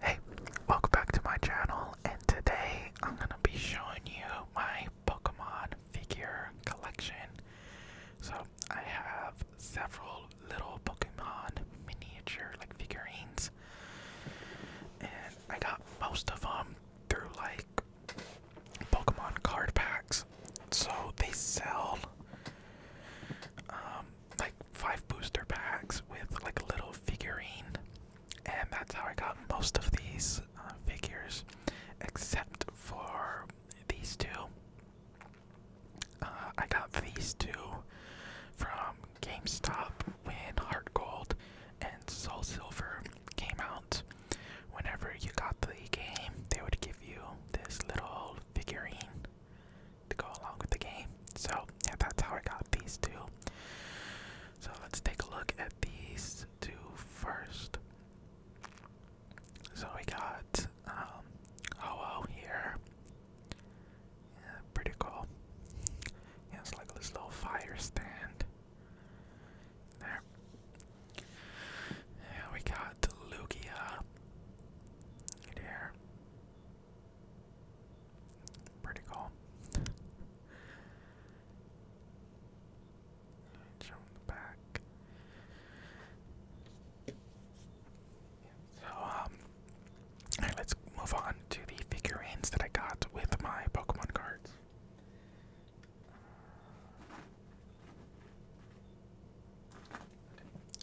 Hey, welcome back to my channel, and today I'm gonna be showing you my Pokemon figure collection. So, I have several little Pokemon miniature like figurines, and I got most of them through like Pokemon card packs. So, they sell um, like five booster packs with like little figurine, and that's how I got most of these uh, figures, except for these two. Uh, I got these two from GameStop when Heart Gold and Soul Silver came out. Whenever you got the game, they would give you this little figurine to go along with the game. So yeah, that's how I got these two. So let's take a look at these two first. So we got um, Ho-Oh here. Yeah, pretty cool. it's like this little fire stand. There. Yeah, we got Lugia. Right here. Pretty cool. Show the back. So um, let's move on to the figurines that I got with my Pokemon cards.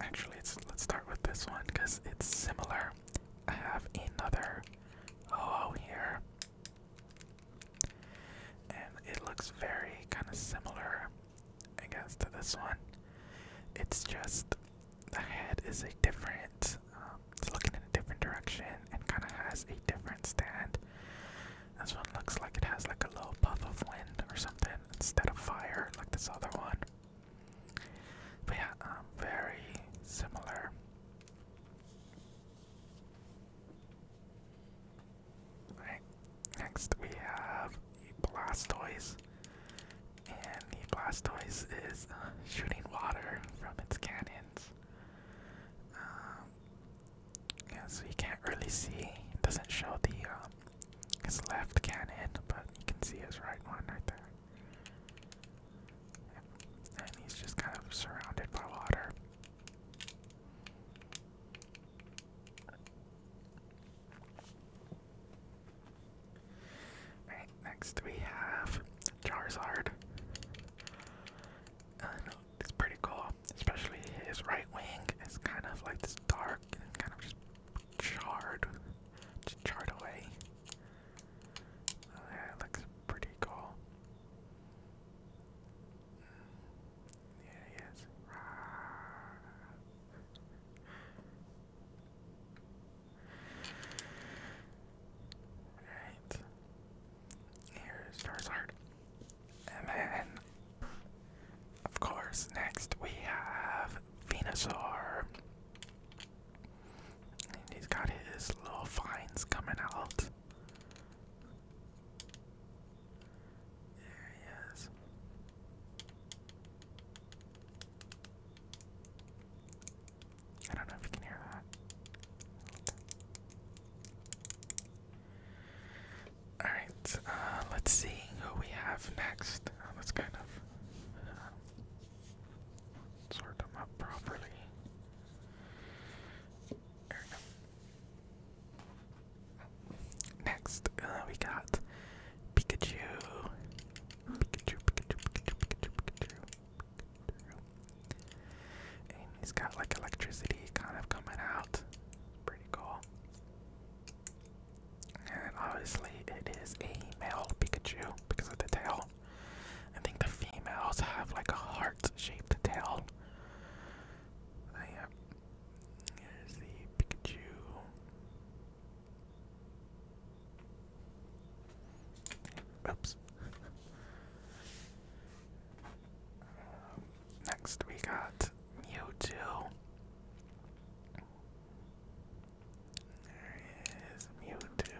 Actually, let's start with this one because it's similar. I have another ho oh, here, and it looks very kind of similar, I guess, to this one. It's just the head is a different, um, it's looking in a different direction and kind of has a different stand. This one looks like it has like a little puff of wind or something instead of fire, like this other one. But yeah, um, very similar. Alright, next we have the Blastoise. And the Blastoise is uh, shooting water from its cannons. Um, yeah, so you can't really see. It doesn't show the um, his left cannon, but you can see his right one right there. And he's just kind of surrounded by water. Alright, next we have Charizard. Uh, it's pretty cool, especially his right wing is kind of like this dark kind of just charred just chart away. yeah, uh, looks pretty cool. Yeah, he is. Here's Charizard. And then, of course, next we have Venusaur he's got his little fines coming out. There he is. I don't know if you can hear that. Alright, uh, let's see who we have next. Uh, kind of uh, sort them up properly. There we go. Next, uh, we got Pikachu. Pikachu, Pikachu, Pikachu, Pikachu, Pikachu. And he's got like electricity kind of coming out. Pretty cool. And obviously, it is a male Pikachu because of the tail. I think the females have like a heart shaped tail. Uh, yeah. Here's the Pikachu. Oops. next, we got Mewtwo. There is Mewtwo.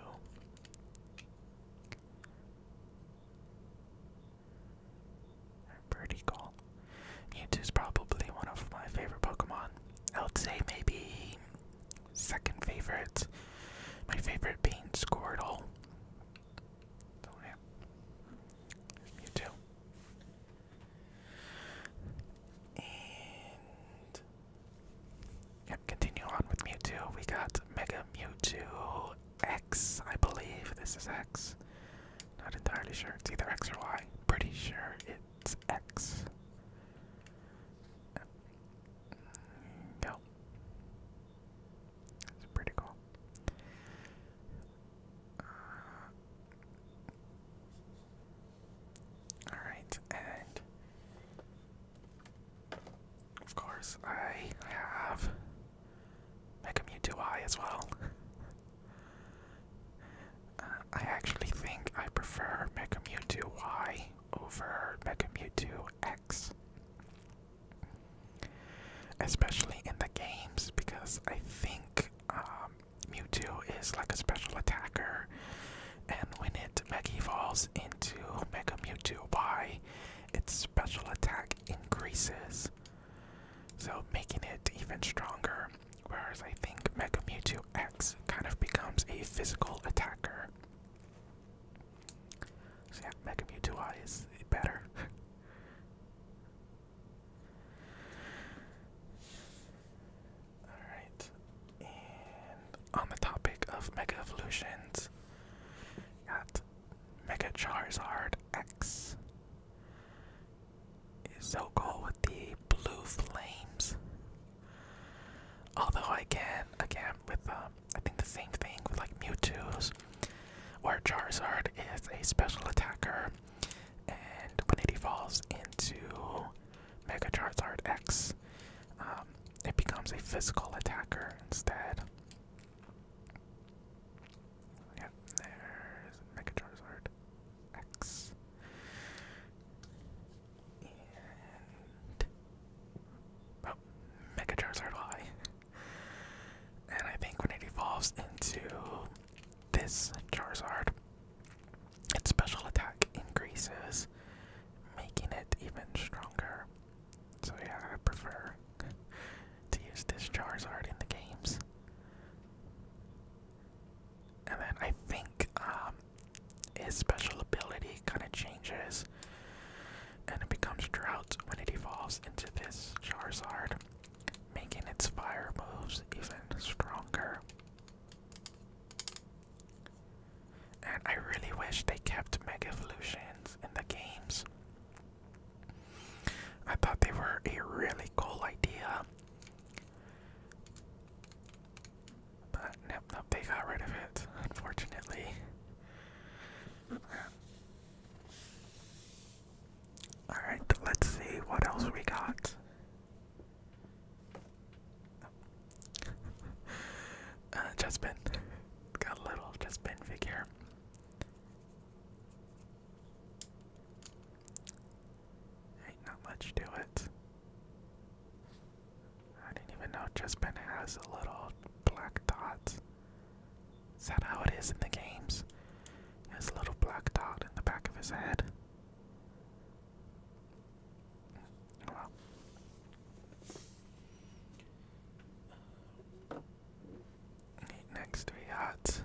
Pretty cool. Mewtwo's probably one of my favorite Pokemon. I would say maybe second favorite. My favorite being Squirtle. So yeah. Mewtwo. Yep, continue on with Mewtwo. We got Mega Mewtwo X, I believe. This is X. Not entirely sure. It's either X or Y. Pretty sure it's X. Go. That's pretty cool. Uh, Alright, and of course I have Mega Mewtwo Eye as well. Uh, I actually think I prefer Mega Mewtwo Y over Mega Mewtwo X. Especially in the games, because I think um, Mewtwo is like a special attacker, and when it Mega Evolves into Mega Mewtwo Y, its special attack increases, so making it even stronger. Whereas I think Mega Mewtwo X kind of becomes a physical attacker. So yeah, Mega Mewtwo Y is better. Alright. And on the topic of Mega Evolutions, got Mega Charizard X. Is so cool with the blue flames. Although I can again with um, I think the same thing with like Mewtwo's where Charizard is a special attacker and when it falls into Mega Charizard X, um, it becomes a physical attacker instead. Yep, there's Mega Charizard X. Oh, Mega Charizard Y. And I think when it evolves into this Charizard, its special attack increases, making it even stronger. So yeah, I prefer to use this Charizard in the games. And then I think um, his special ability kind of changes, and it becomes Drought when it evolves into this Charizard, making its fire moves even stronger. And I really wish they kept Mega Evolutions in the games. I thought they were a really cool idea. But nope, nope, they got rid of it, unfortunately. Alright, let's see what else we got uh, Chespin. Got a little Chespin figure. Ain't not much to it. I didn't even know Chespin has a little black dot. Is that how it is in the games? His little black dot in the back of his head. Oh, Next we got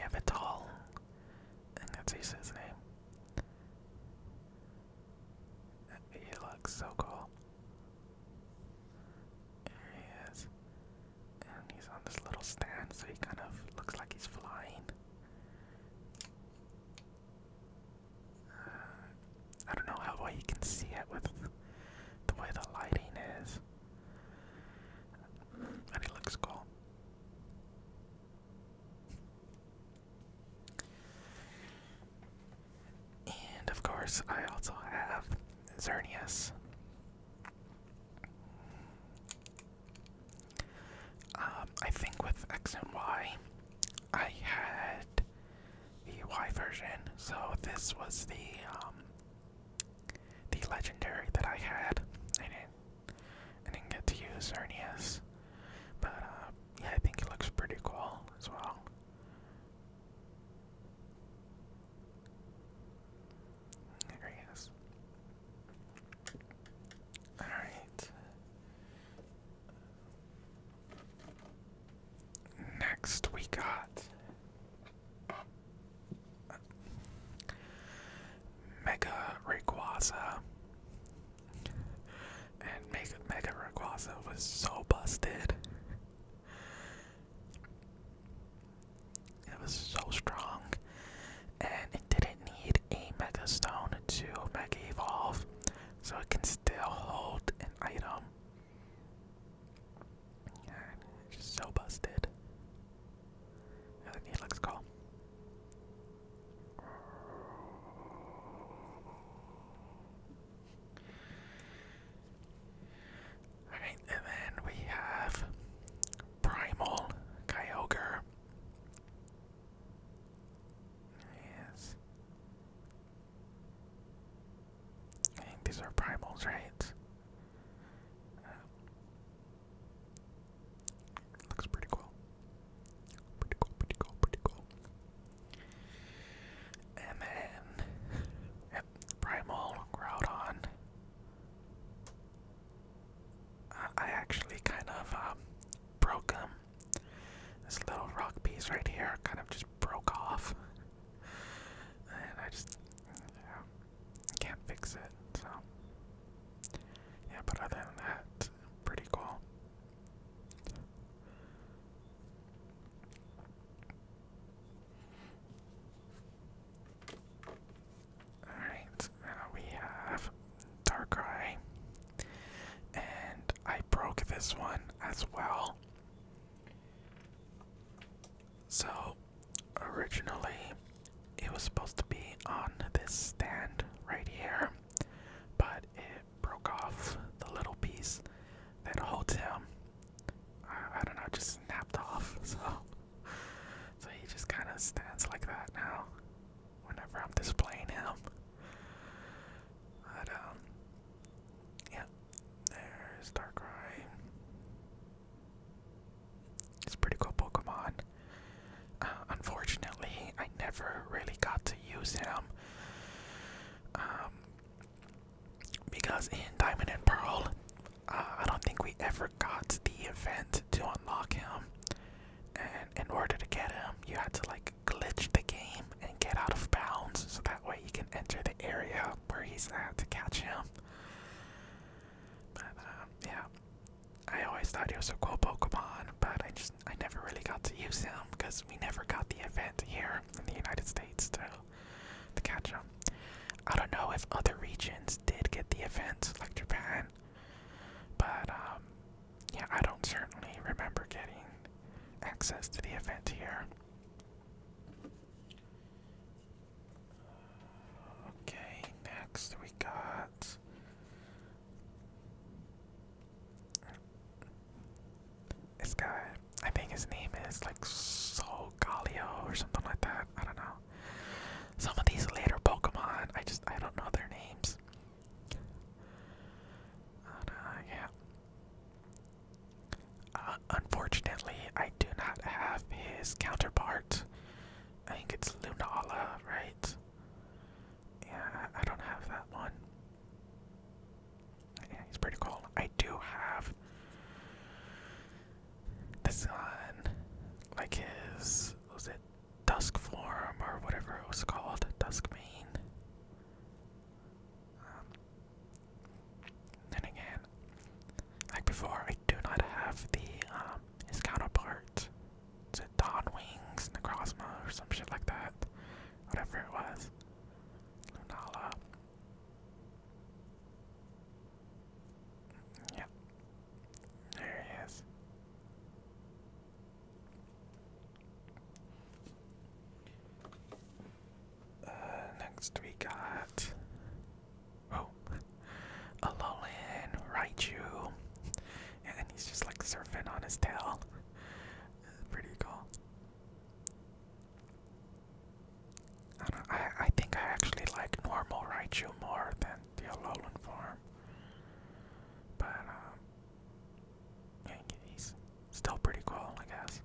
Yevital. And that's his name. He looks so cool. There he is. And he's on this little stand, so he kind of looks like he's flying. I don't know how well you can see it with the way the lighting is. And it looks cool. And of course, I also have Zernius. Um, I think with X and Y, I had the Y version, so this was the um, the legendary that I had. I didn't, get to use Ernius, but uh, yeah, I think it looks pretty cool as well. There all right. Next, we got Mega Rayquaza, and Mega Mega Rayquaza was so busted. It was so strong, and it didn't need a Mega Stone to Mega Evolve, so it can still hold an item. And it's so busted. Another Needlex call. Alright, and then we have Primal Kyogre. Yes. I think these are primals, right? Uh, looks pretty cool. Pretty cool, pretty cool, pretty cool. And then, yep, primal Groudon. I, actually kind of um, broke him this little rock piece right here kind of just broke off. And I just can't fix it, so. Yeah, but other than that, pretty cool. Alright, now we have Darkrai. And I broke this one as well. So, originally, it was supposed to be on this stand right here, but it broke off the little piece that holds him. I, I don't know, just snapped off. So, so he just kind of stands like that now whenever I'm displaying him. But um, yeah, there's Darkrai. It's pretty cool Pokemon. Uh, unfortunately, I never really got to use him. Um, because in Diamond and Pearl, uh, I don't think we ever got the event to unlock him in order to get him, you had to like glitch the game and get out of bounds so that way you can enter the area where he's at to catch him. But um, yeah, I always thought he was a cool Pokemon, but I just I never really got to use him because we never got the event here in the United States to to catch him. I don't know if other regions did get the event like Japan, but um, yeah, I don't certainly remember getting access to the event here. Okay, next we got this guy. I think his name is like Solgaleo or something like that. I don't know. Some of these later Pokemon, I just I don't know their names. Uh, uh, unfortunately, I do not have his counterpart. I think it's Lunala, right? Yeah, I don't have that one. Yeah, he's pretty cool. I do have the son, like his, was it Dusk Forum or whatever it was called, Duskmane. Um, then again, like before, I do not have the um, counterpart. Is it Necrozma, or some shit like that? Whatever it was. Lunala. Yep. There he is. Uh, next we got oh, Alolan Raichu, and he's just like surfing on his tail. Pretty cool. I I think I actually like normal Raichu more than the Alolan form, but um, yeah, he's still pretty cool, I guess.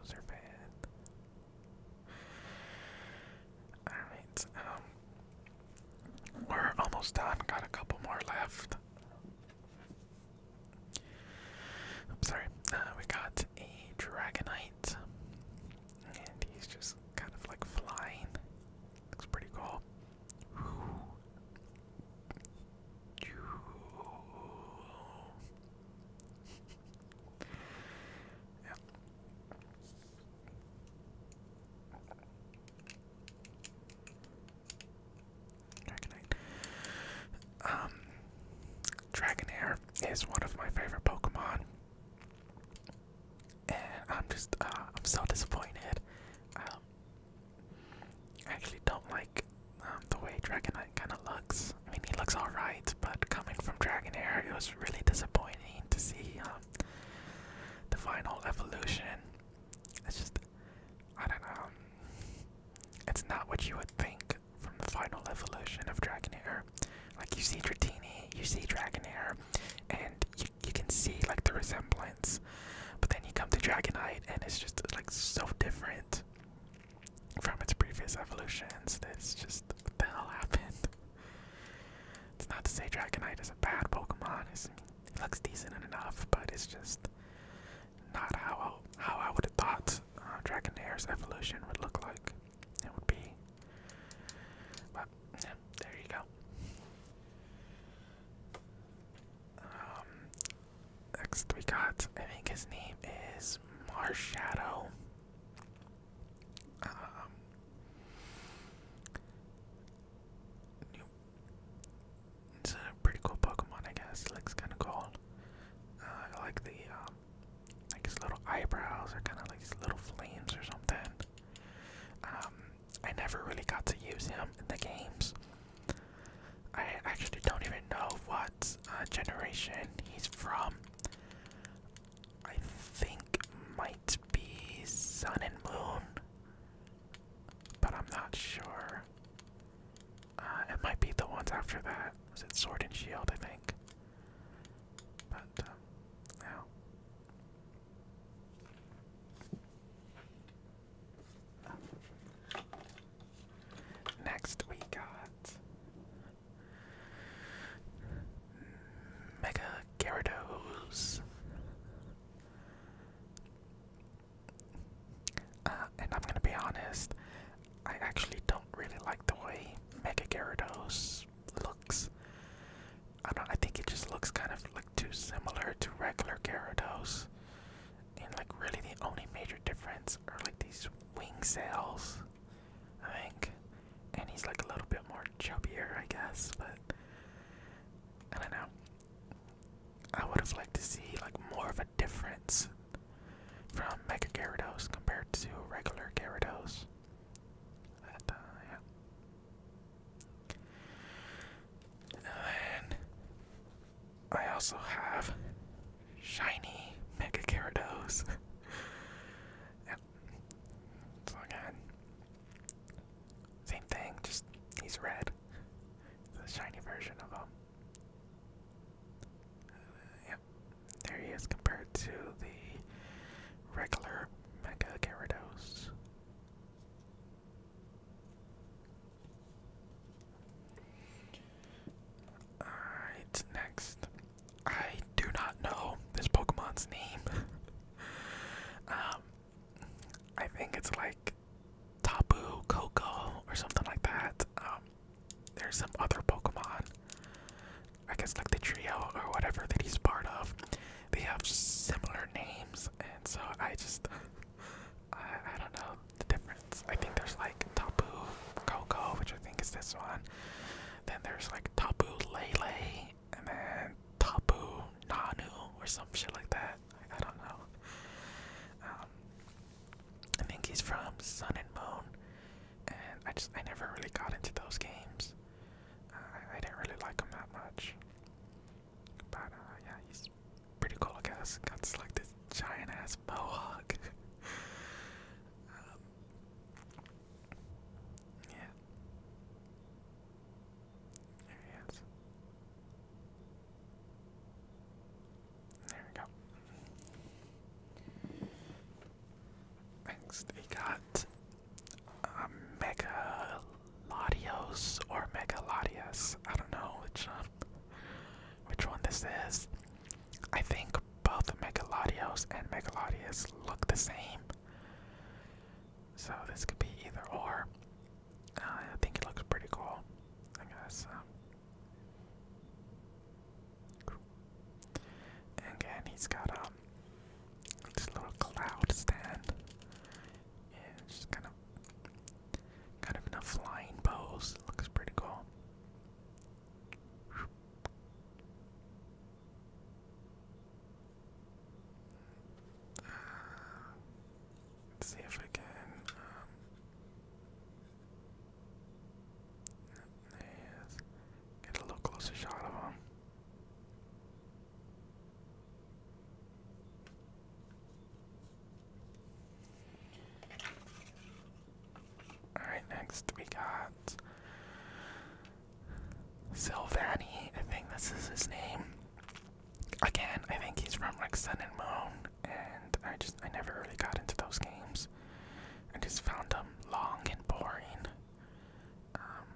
Who's her fan? Alright, um, we're almost done. Got a couple more left. I'm sorry. Uh, we got a Dragonite, and he's just kind of like flying. Looks pretty cool. Dragonair is one of my favorite Pokemon. Eh, I'm just uh, I'm so disappointed. Um, I actually don't like um, the way Dragonite kind of looks. I mean, he looks alright, but coming from Dragonair, it was really disappointing to see um, the final evolution. It's just, I don't know. It's not what you would think from the final evolution of Dragonair. Like, you see Dratini, you see Dragonair, and you you can see like the resemblance, but then you come to Dragonite and it's just like so different from its previous evolutions. That's just what the hell happened. It's not to say Dragonite is a bad Pokemon. it looks decent enough, but it's just not how I, how I would have thought uh, Dragonair's evolution would look like. It would be. But there you go. Um, next we got, I think his name is Marshadow. Um, Shadow. it's a pretty cool Pokemon, I guess. It looks kind of cool. Uh, I like the, um, like his little eyebrows are kind of like these little flames or something. Um, I never really got to use him in the games. I actually don't even know what uh, generation he's from. I think might be Sun and Moon, but I'm not sure. Uh, it might be the ones after that. Was it Sword and Shield? I think. But no. Um, Next, we got Mega Gyarados. Uh, and I'm gonna be honest, I actually don't really like the way Mega Gyarados looks. I don't. I think it just looks kind of like too similar to regular Gyarados, and like really the only major difference are like these wing sails, I think. And he's like a little bit more chubbier, I guess. But I don't know. I would have liked to see like more of a difference from Mega Gyarados compared to regular Gyarados. But, uh, yeah. And I also have shiny Mega Gyarados. yep. So again, same thing, just he's red. The shiny version of him. yep, there he is compared to the regular Mega Gyarados. Alright, next. I do not know this Pokemon's name. um, I think it's like Tapu Coco or something like that. Um, there's some other Pokemon. I guess like the trio or whatever that he's part of they have similar names, and so I just I, I don't know the difference. I think there's like Taboo Coco, which I think is this one. Then there's like Taboo Lele, and then Taboo Nanu or some shit like that. I, don't know. Um, I think he's from Sun and Moon, and I just I never really got into those games. I didn't really like them that much. But uh, yeah, he's pretty cool, I guess. Got this, like this giant ass mohawk. Um, yeah. There he is. There we go. Next, we got a mega Latios or Megalatias. I don't know which um, which one this is. I think both Megalatios and Megalatias look the same. So this could be either or. Uh, I think it looks pretty cool. I guess. Um. And again, he's got um, this little cloud stand and it's just kind of kind of in a flying pose. It looks pretty cool. see if I can. Um, there he is. Get a little closer shot of him. Alright, next we got Silvani. I think this is his name. Again, I think he's from like Sun and Moon, and I just I never really got into those games. I just found them long and boring. Um,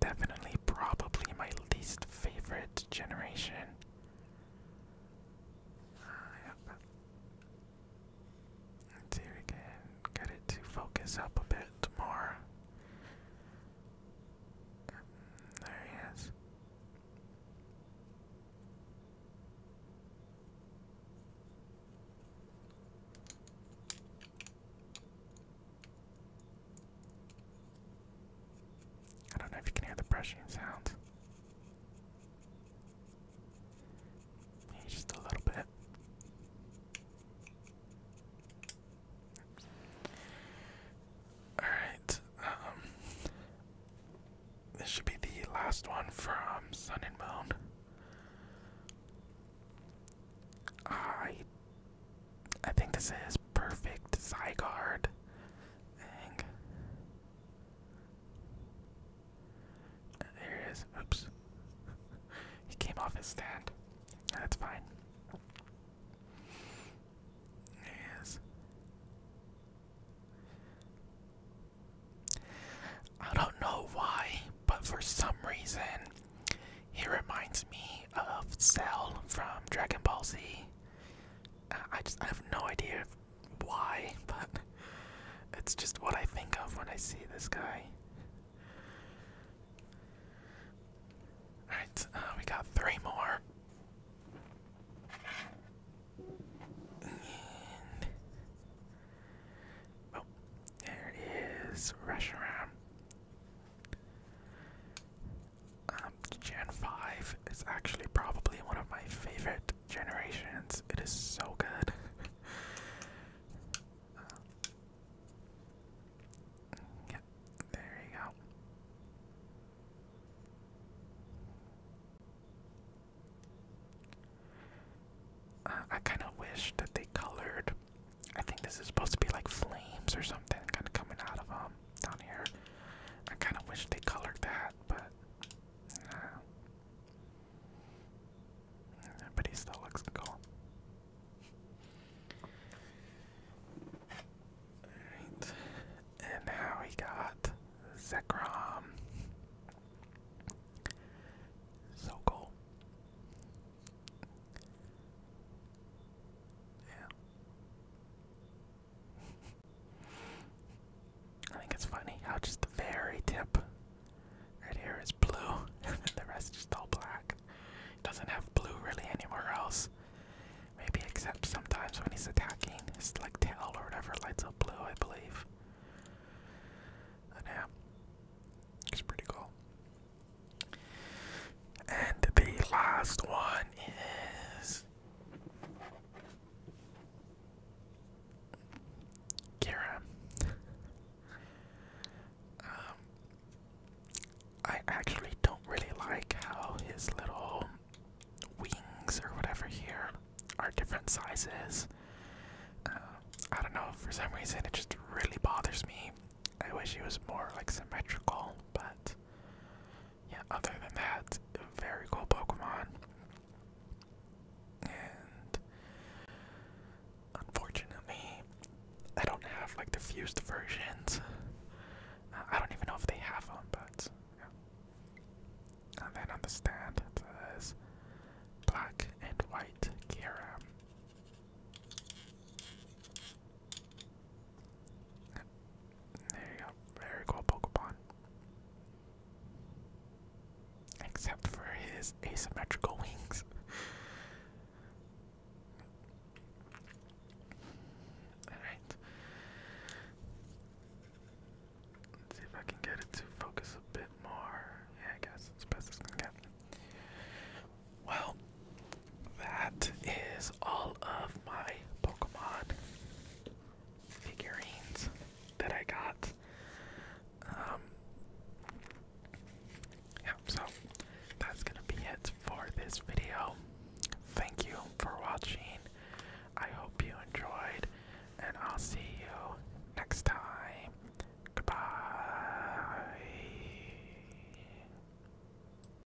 Definitely, probably my least favorite generation. yep. Let's see if we can get it to focus up a bit more. There he I don't know if you can hear the brushing sounds. just a little bit. Alright, um, this should be the last one from Sun and Moon. I I think this is perfect Zygarde. There he is. Oops. he came off his stand. That's fine. There he is. I don't know why, but for some reason, he reminds me of Cell from Dragon Ball Z. I just I have no idea why, but it's just what I think of when I see this guy. Alright, uh, we got three more. And oh, there is Reshiram. Um, Gen 5 is actually probably one of my favorite generations. It is so good. Um, yeah, there you go. Uh, I kind of wish that they colored. I think this is supposed to be like flames or something kind of coming out of them. Um, down here. I kind of wish they colored that, but nah. But he still looks cool. Alright. And now we got Zekrom. So cool. Yeah. I think it's funny how just the very tip right here is blue, and the rest is all black. It doesn't have blue really anywhere else. Maybe except sometimes when he's attacking, his like tail or whatever lights up blue, I believe. But yeah, it's pretty cool. And the last one is Kira. um, I actually don't really like how his little wings or whatever here are different sizes. Uh, I don't know, for some reason it just really bothers me. I wish he was more like symmetrical, but yeah, other than that, very cool Pokemon. And unfortunately, I don't have like the fused versions. I don't even know if they have them, but And then on the stand, it black and white Kyurem. There you go. Very cool Pokemon. Except for his asymmetrical wings. Alright. see if I can get it to focus a bit more. Yeah, I guess it's best it's gonna get. Well, that is all of my Pokemon figurines that I got. Um, yeah, so that's gonna be it for this video. Thank you for watching. I hope you enjoyed, and I'll see you next time. Goodbye.